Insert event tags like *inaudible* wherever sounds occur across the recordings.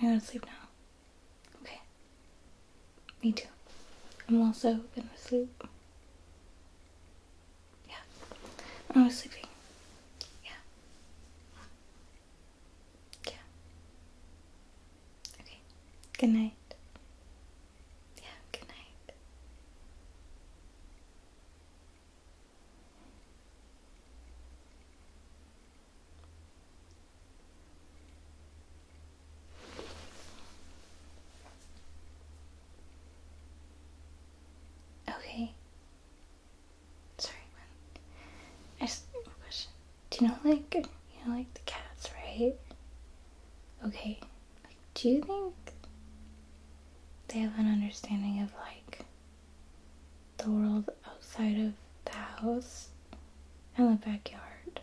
You're gonna sleep now. Okay. Me too. I'm also gonna sleep. Yeah. I'm always sleeping. Yeah. Yeah. Okay. Good night. Yeah, good night. Okay. Sorry, I just question. Do you know, like, you know, like the cats, right? Okay do you think they have an understanding of like the world outside of the house and the backyard?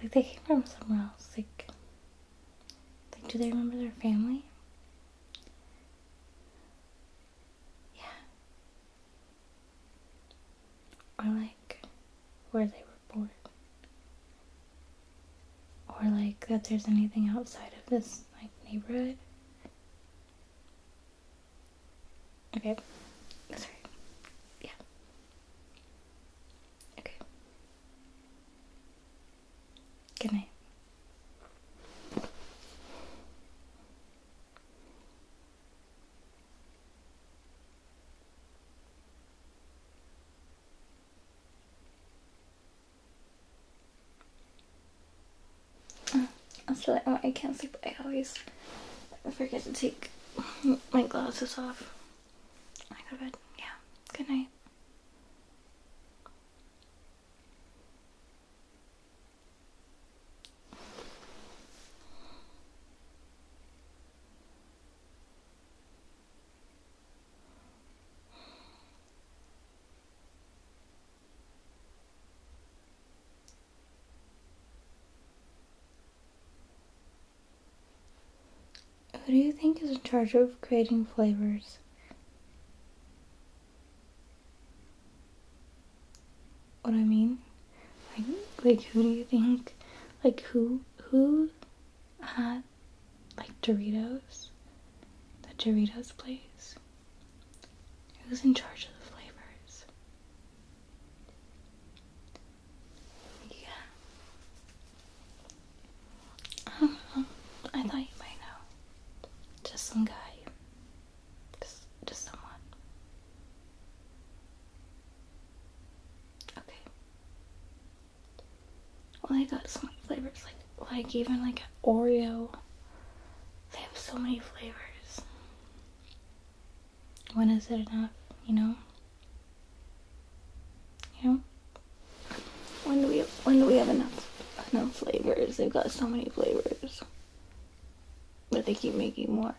Like they came from somewhere else. Like, do they remember their family? Yeah. Or like where they were born or like that there's anything outside of this like neighborhood. Okay. Sorry. Yeah. Okay. Good night. Mm, I feel like oh, I can't sleep. I always forget to take my glasses off. I go to bed. Yeah. Good night. Who do you think is in charge of creating flavors? What I mean? Like, who do you think? Like who who has uh, like Doritos, the Doritos place. Who's in charge of the flavors? Yeah. Um, I thought you might know. Just some guy. Just, just someone. Okay. Well, they got so many flavors, like like even like Oreo. They have so many flavors. When is it enough? You know. You know. When do we have, when do we have enough enough flavors? They've got so many flavors, but they keep making more.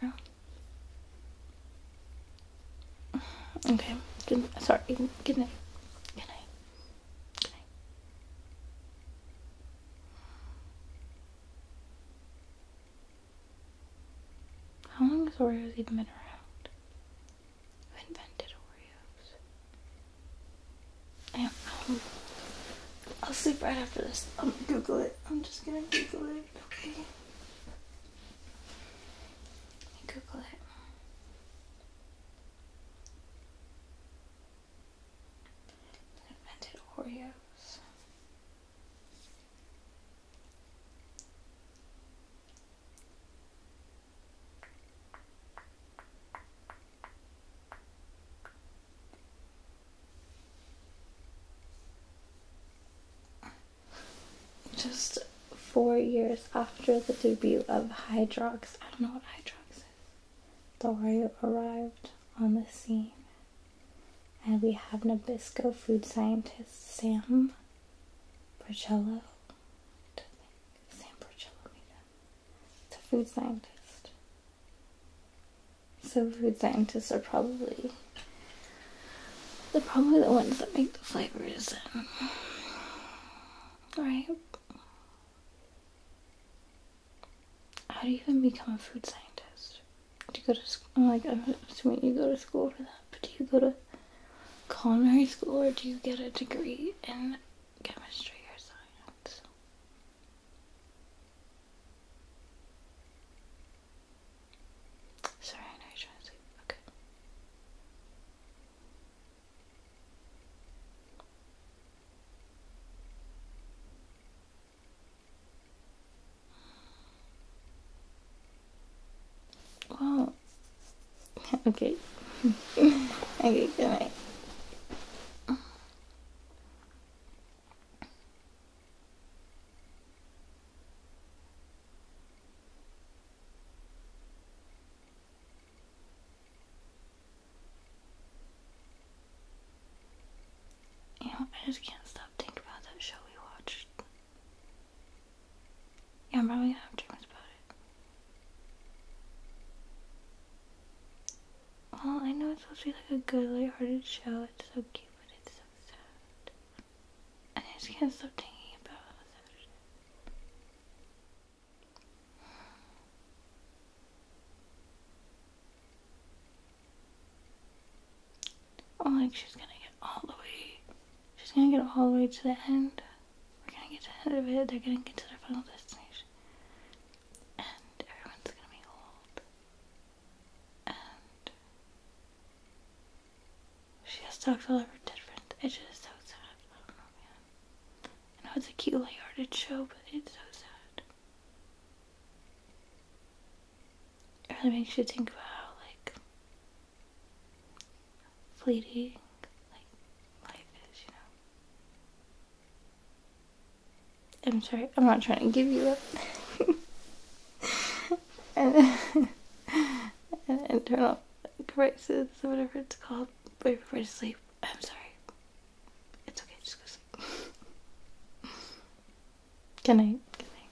Okay. Good, sorry. Good night. Good night. Good night. How long has Oreos even been around? Who invented Oreos? I will sleep right after this. I'm gonna Google it. I'm just gonna Google it, okay? Google it. Invented Oreos just four years after the debut of Hydrox. I don't know what Hydrox is. Dorio arrived on the scene. And we have Nabisco food scientist Sam Prochello. I think Sam Porcello made him. It's a food scientist. So food scientists are probably they're probably the ones that make the flavors, right? How do you even become a food scientist? Do you go to school? Like, I'm assuming you go to school for that, but do you go to culinary school or do you get a degree in chemistry or science? Sorry, I know you're trying to sleep. Okay. Wow. *laughs* okay. *laughs* okay, good night. I just can't stop thinking about that show we watched. Yeah, I'm probably gonna have dreams about it. Well, I know it's supposed to be like a good, lighthearted show. It's so cute, but it's so sad. And I just can't stop thinking about all that shit. Oh, like she's gonna get all the way. She's gonna get all the way to the end. We're gonna get to the end of it. They're gonna get to their final destination. And everyone's gonna be old. She has talked dogs all over different edges, so sad. I know, it's a cute, light-hearted show, but it's so sad. It really makes you think about like, fleeting, like, life is, you know? I'm sorry, I'm not trying to give you up. *laughs* *laughs* and, and turn off corrections or whatever it's called right before you sleep. I'm sorry. It's okay, just go sleep. Good night. Good night.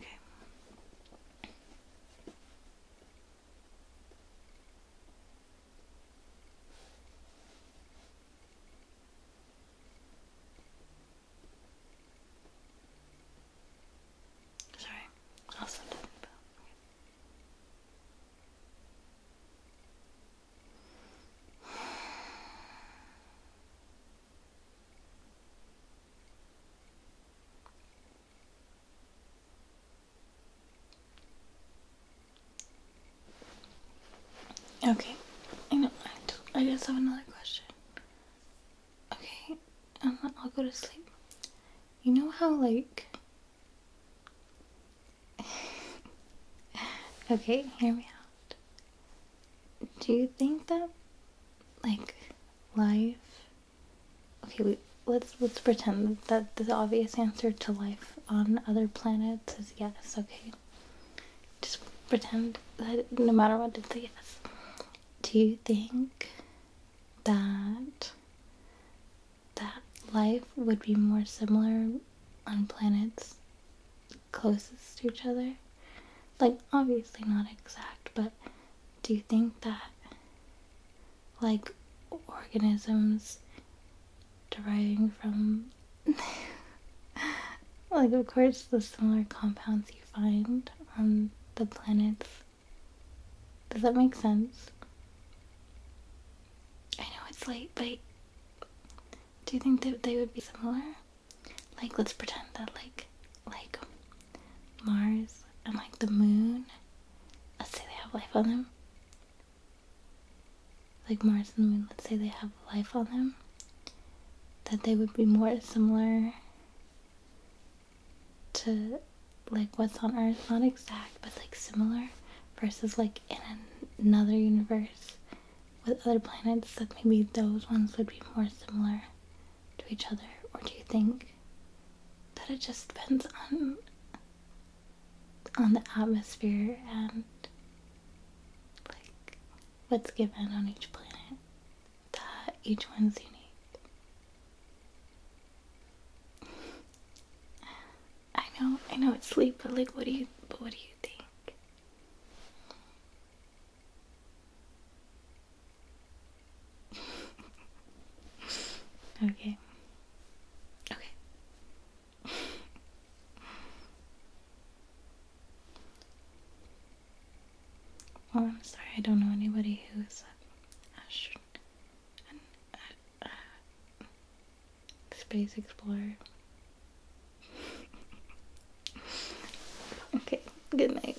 Okay. Sorry, that's what I'm talking Okay. I know. I, I guess I have another question. Okay, um, I'll go to sleep. You know how, like. *laughs* okay, here we are. Do you think that, like, life. Okay, wait, let's, let's pretend that the obvious answer to life on other planets is yes, okay? Just pretend that no matter what, it's a yes. Do you think that that life would be more similar on planets closest to each other? Like obviously not exact, but do you think that like organisms deriving from *laughs* like of course the similar compounds you find on the planets does that make sense? I know it's late, but do you think that they would be similar? Like, let's pretend that like, like Mars and like the Moon. Let's say they have life on them. Like Mars and the Moon. Let's say they have life on them. That they would be more similar to like what's on Earth, not exact, but like similar, versus like in another universe with other planets, that maybe those ones would be more similar to each other? Or do you think that it just depends on on the atmosphere and like what's given on each planet? that each one's unique. I know, I know it's sleep, but like, what do you, but what do you think? okay. Okay. Well, oh, I'm sorry, I don't know anybody who's a space explorer. *laughs* okay, Good night.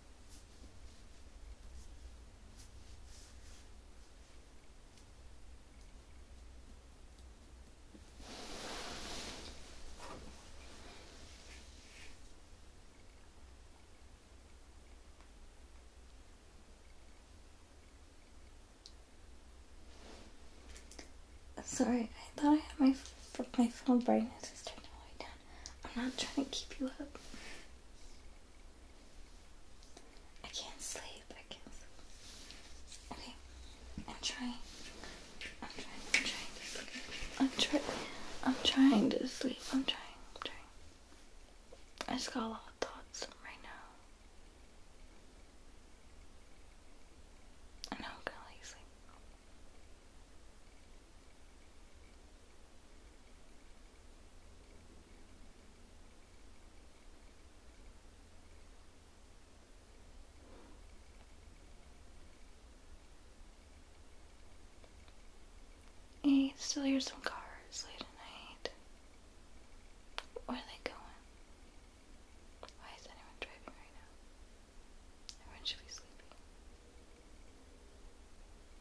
Sorry, I thought I had my my phone brightness turned all the way down. I'm not trying to keep you up. I can't sleep. I can't sleep. Okay. I'm trying. I'm trying. I'm trying to sleep. I'm trying. I'm trying to sleep. I'm trying. I'm trying. I just got a lot of thoughts right now. I know I'm gonna like sleep. I still hear some cars late at night. Where are they going? Why is anyone driving right now? Everyone should be sleeping.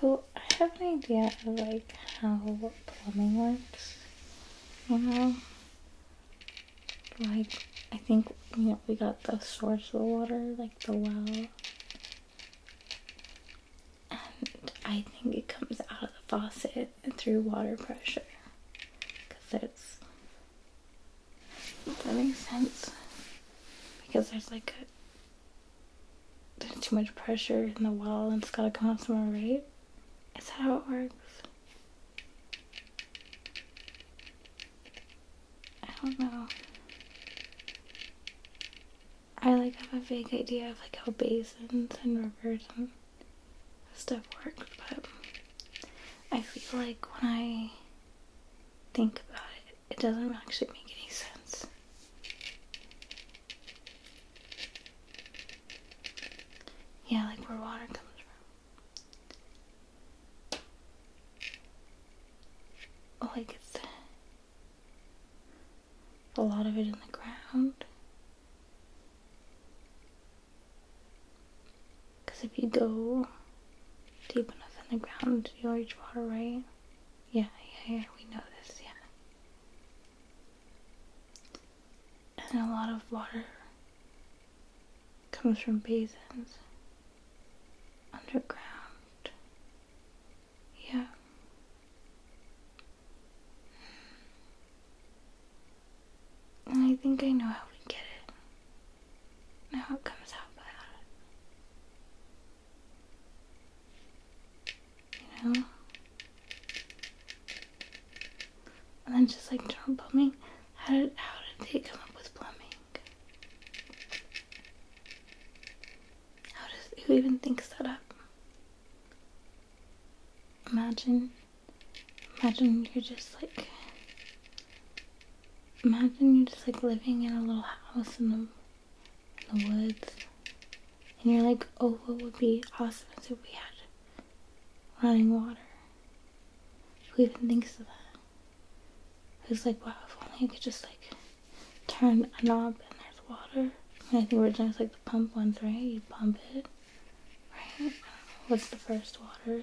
So I have an idea of like how plumbing works, you know? Like I think you know we got the source of the water, like the well and I think it comes out of the faucet and through water pressure because it's that makes sense because there's like a, there's too much pressure in the wall and it's gotta come out somewhere right is that how it works I don't know I like have a vague idea of like how basins and rivers and stuff work, but I feel like when I think about it, it doesn't actually make any sense. Yeah, like where water comes from. Oh, Like it's a lot of it in the ground. Because if you go deep enough in the ground, you'll reach water, right? Yeah, yeah, yeah, we know this, yeah. And a lot of water comes from basins underground yeah. I think I know how we get it. And it comes out You know? And then just like general plumbing, how did how did they come up with plumbing? How does who even thinks that up? Imagine, imagine you're just like, imagine you're just like living in a little house in the, the woods. And you're like, oh, what would be awesome if we had running water. Who even thinks of that? Who's like, wow, if only I could just like turn a knob and there's water. I think originally it's like the pump ones, right? You pump it, right? What's the first water thing?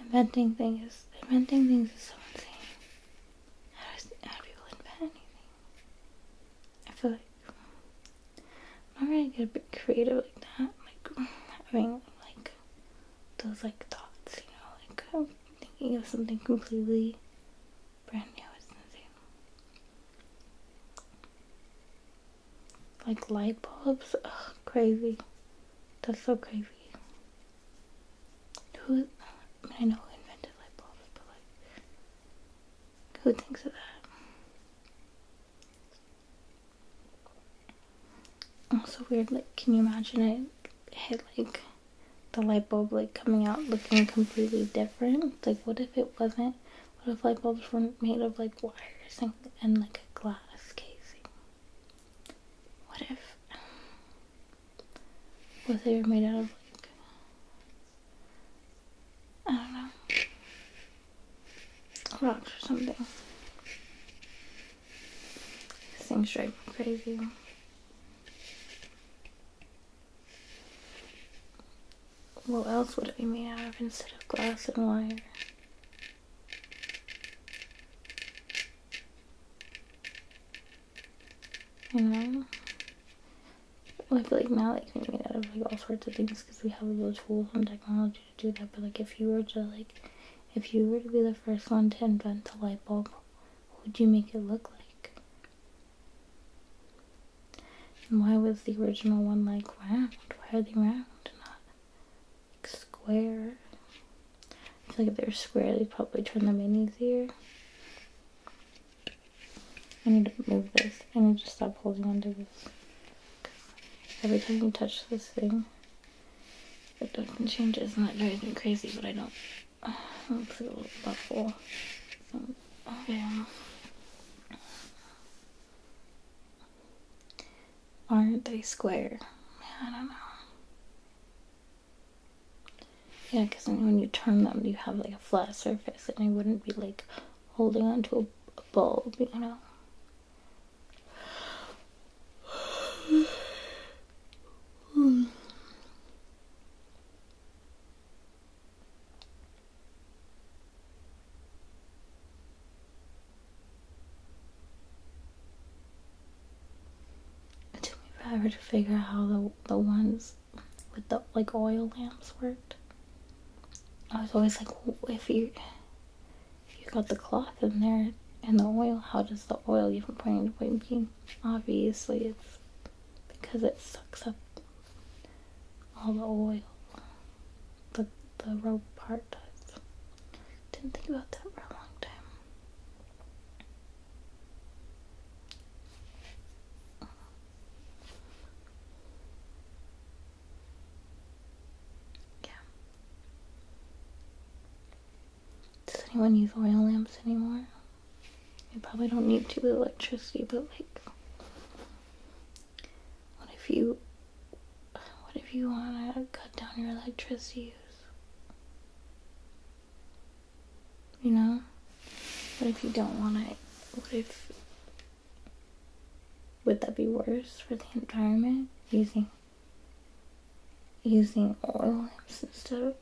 Inventing things, inventing things is so insane. How do, how do people invent anything? I feel like I'm not really good at being creative like that. Like *sighs* having like those like thoughts, you know, like I'm thinking of something completely brand new. It's insane. Like light bulbs, crazy. That's so crazy. Who? I know who invented light bulbs, but like, who thinks of that? So weird, like, can you imagine it hit like the light bulb like coming out looking completely different? Like, what if it wasn't? What if light bulbs were made of like wires and, like a glass casing? What if? What if they were made out of like? I don't know. Rocks or something. Same stripe crazy. What else would it be made out of instead of glass and wire? You know? I feel like Malik can be made out of like all sorts of things because we have all those tools and technology to do that, but like if you were to like, if you were to be the first one to invent the light bulb, what would you make it look like? And why was the original one like round? Why are they round, not square? I feel like if they were square, they'd probably turn them in easier. I need to move this. I need to stop holding onto this. Every time you touch this thing, it doesn't change. It's not driving crazy, but I don't. Uh, *sighs* I'm a little buffle. Um, um, Aren't they square? Yeah, I don't know. Yeah, because when you turn them, you have like a flat surface, and I wouldn't be like holding onto a, ball, you know? It took me forever to figure out how the the ones with the like oil lamps worked. I was always like, if you if you got the cloth in there and the oil, how does the oil even from point A to point B? Obviously, it's because it sucks up all the oil. The, the rope part does. Didn't think about that for a long time. Yeah. Does anyone use oil lamps anymore? You probably don't need to with electricity, but like, what if you, what if you want to cut down your electricity use? You know? What if you don't want it? what if would that be worse for the environment? Using using oil lamps instead of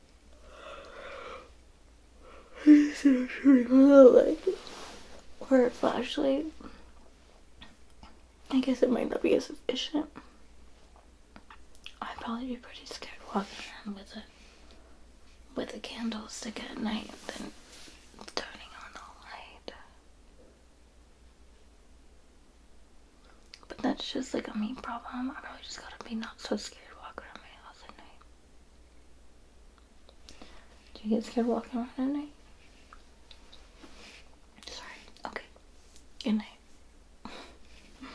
or a flashlight. I guess it might not be as efficient. I'd probably be pretty scared walking around with a with a candlestick at night than turning on the light. But that's just like a me problem. I really just gotta be not so scared walking around my house at night. Do you get scared walking around at night? Sorry. Okay. Good night. Good night.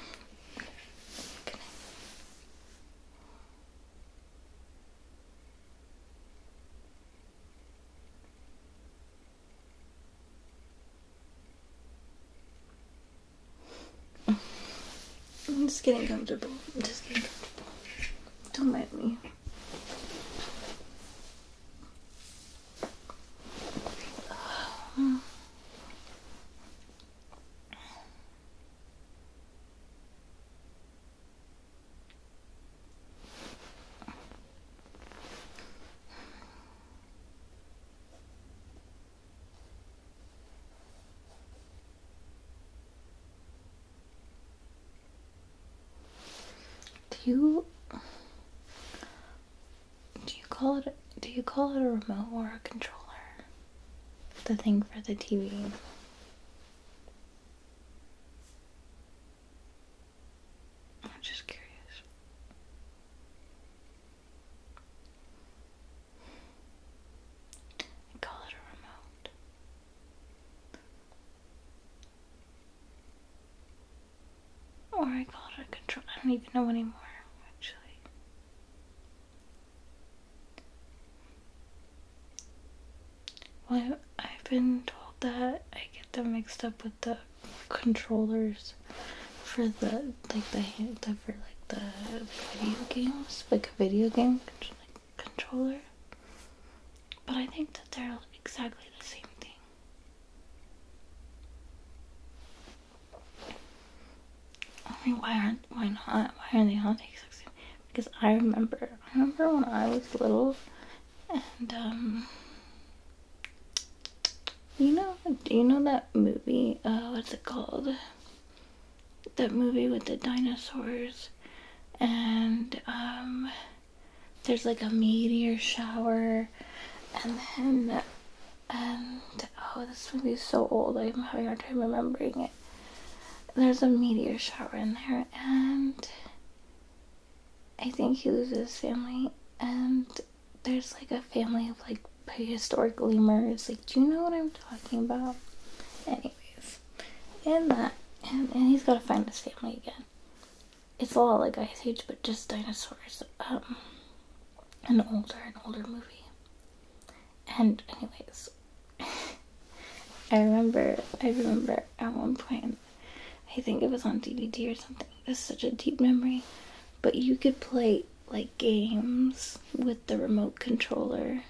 I'm just getting comfortable. I'm just getting comfortable. Don't mind me. Do you do you call it do you call it a remote or a controller? The thing for the TV. I'm just curious. I call it a remote. Or I call it a control. I don't even know anymore, actually. Well, I've been told that I get them mixed up with the controllers for the like the for like the video games, like a video game controller. But I think that they're exactly the same thing. I mean, why aren't why not why are they not exactly? Because I remember I remember when I was little and um, you know do you know that movie? Uh, what's it called? That movie with the dinosaurs and um, there's like a meteor shower and then and oh this movie is so old I'm having a hard time remembering it. There's a meteor shower in there and I think he loses family, and there's like a family of like prehistoric lemurs. Like, do you know what I'm talking about? Anyways, and that, and, he's gotta find his family again. It's a lot like Ice Age, but just dinosaurs. Um, an older, an older movie. And anyways, *laughs* I remember, I remember at one point in I think it was on DVD or something. That's such a deep memory. But you could play like games with the remote controller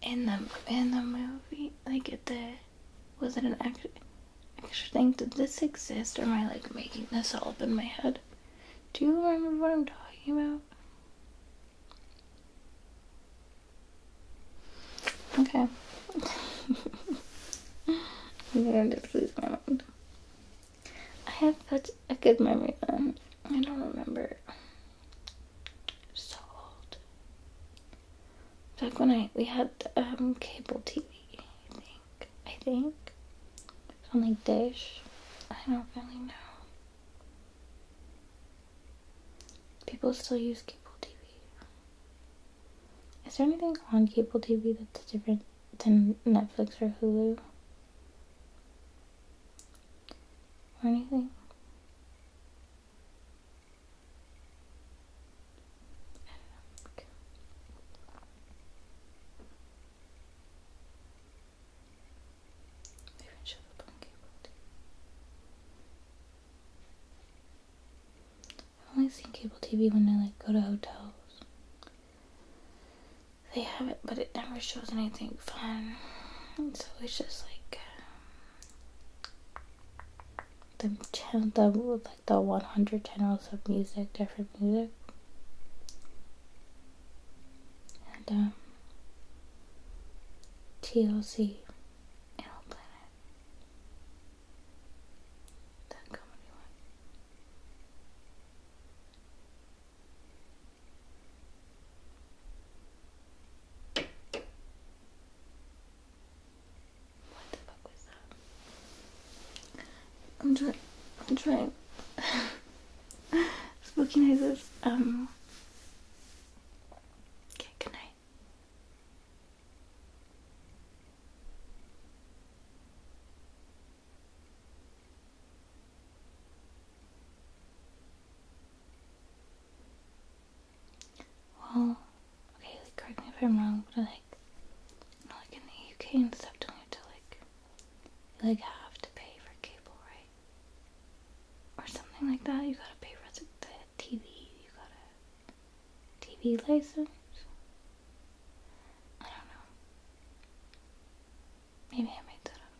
in the in the movie. Like at the was it an extra, extra thing? Did this exist or am I like making this all up in my head? Do you remember what I'm talking about? Okay. *laughs* i have such a good memory then. I don't remember. So old. Back when I we had um, cable TV, I think. I think. on like dish. I don't really know. People still use cable TV. Is there anything on cable TV that's different than Netflix or Hulu? Or anything? I've only seen cable TV when I like go to hotels. They have it, but it never shows anything fun. And so it's just like um, the channel, that the like the 100 channels of music, different music, and um, TLC, Animal Planet. What the fuck was that? I'm trying. I'm trying. *laughs* Spooky noises. Um. Okay. Good night. Well, okay, correct me if I'm wrong, but like, you like in the UK and stuff, don't you have to like, you like have to pay for cable, right? Or something like that. You gotta pay for the TV, you got a TV license? I don't know. Maybe I made that up.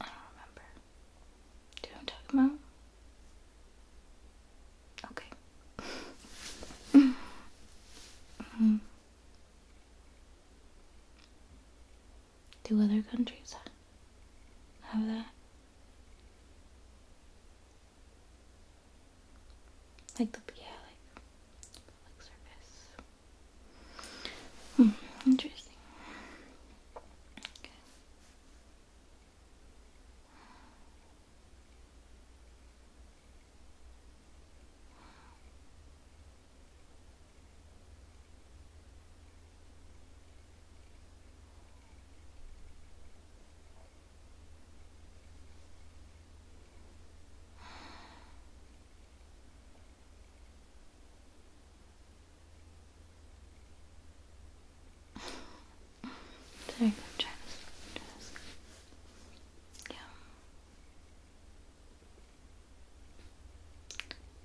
I don't remember. Do you know what i about? Okay. *laughs* hmm Do other countries have that? Like the yeah, like public service. Hmm, interesting. Okay. There you go, Yeah.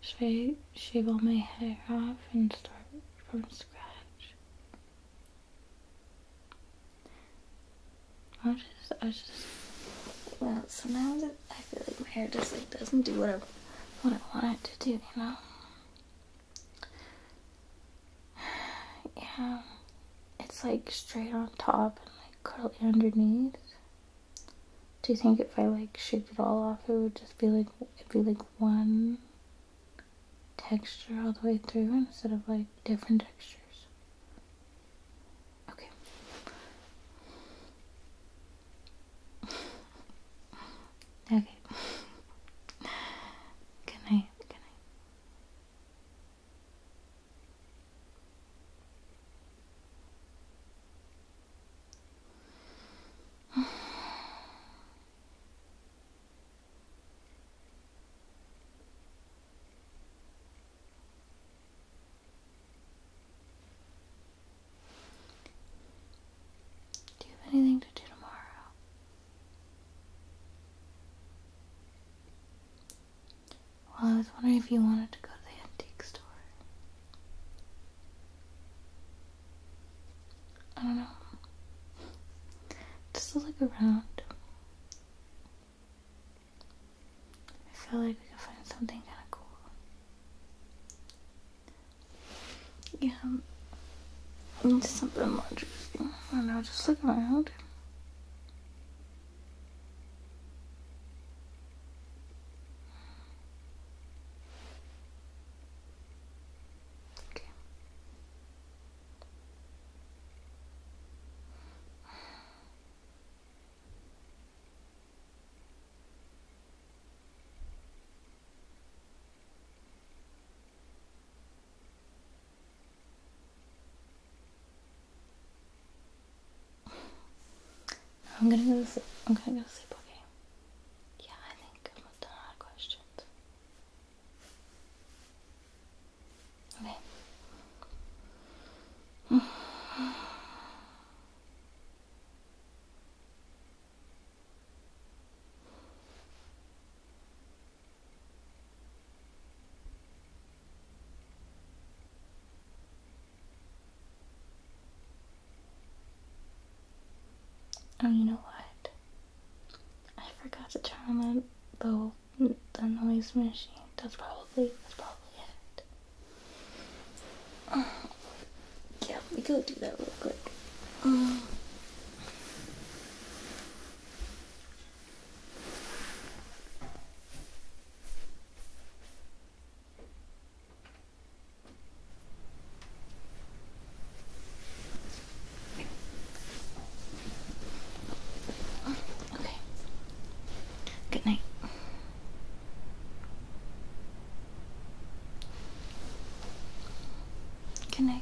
Should I shave all my hair off and start from scratch? I just, I just, well, sometimes I feel like my hair just like doesn't do what I, what I want it to do, you know? *sighs* Yeah, it's like straight on top and like curly underneath. Do you think if I like shaved it all off, it would just be like, it'd be like one texture all the way through instead of like different textures. Okay. okay. good night. Good night. *sighs* Do you have anything to do tomorrow? Well, I was wondering if you wanted to go to the antique store. I don't know. Just look around. I feel like we can find something kind of cool. Yeah, I need something more interesting. I don't know, just look around. Okay. I'm gonna go. I'm gonna go sleep. Okay. Yeah, I think I'm done our questions. Okay. Oh, you know what? I forgot to turn on the the noise machine. That's probably that's probably it. *sighs* Yeah, let me go do that real quick. Um. Oh, okay. Good night. Good night.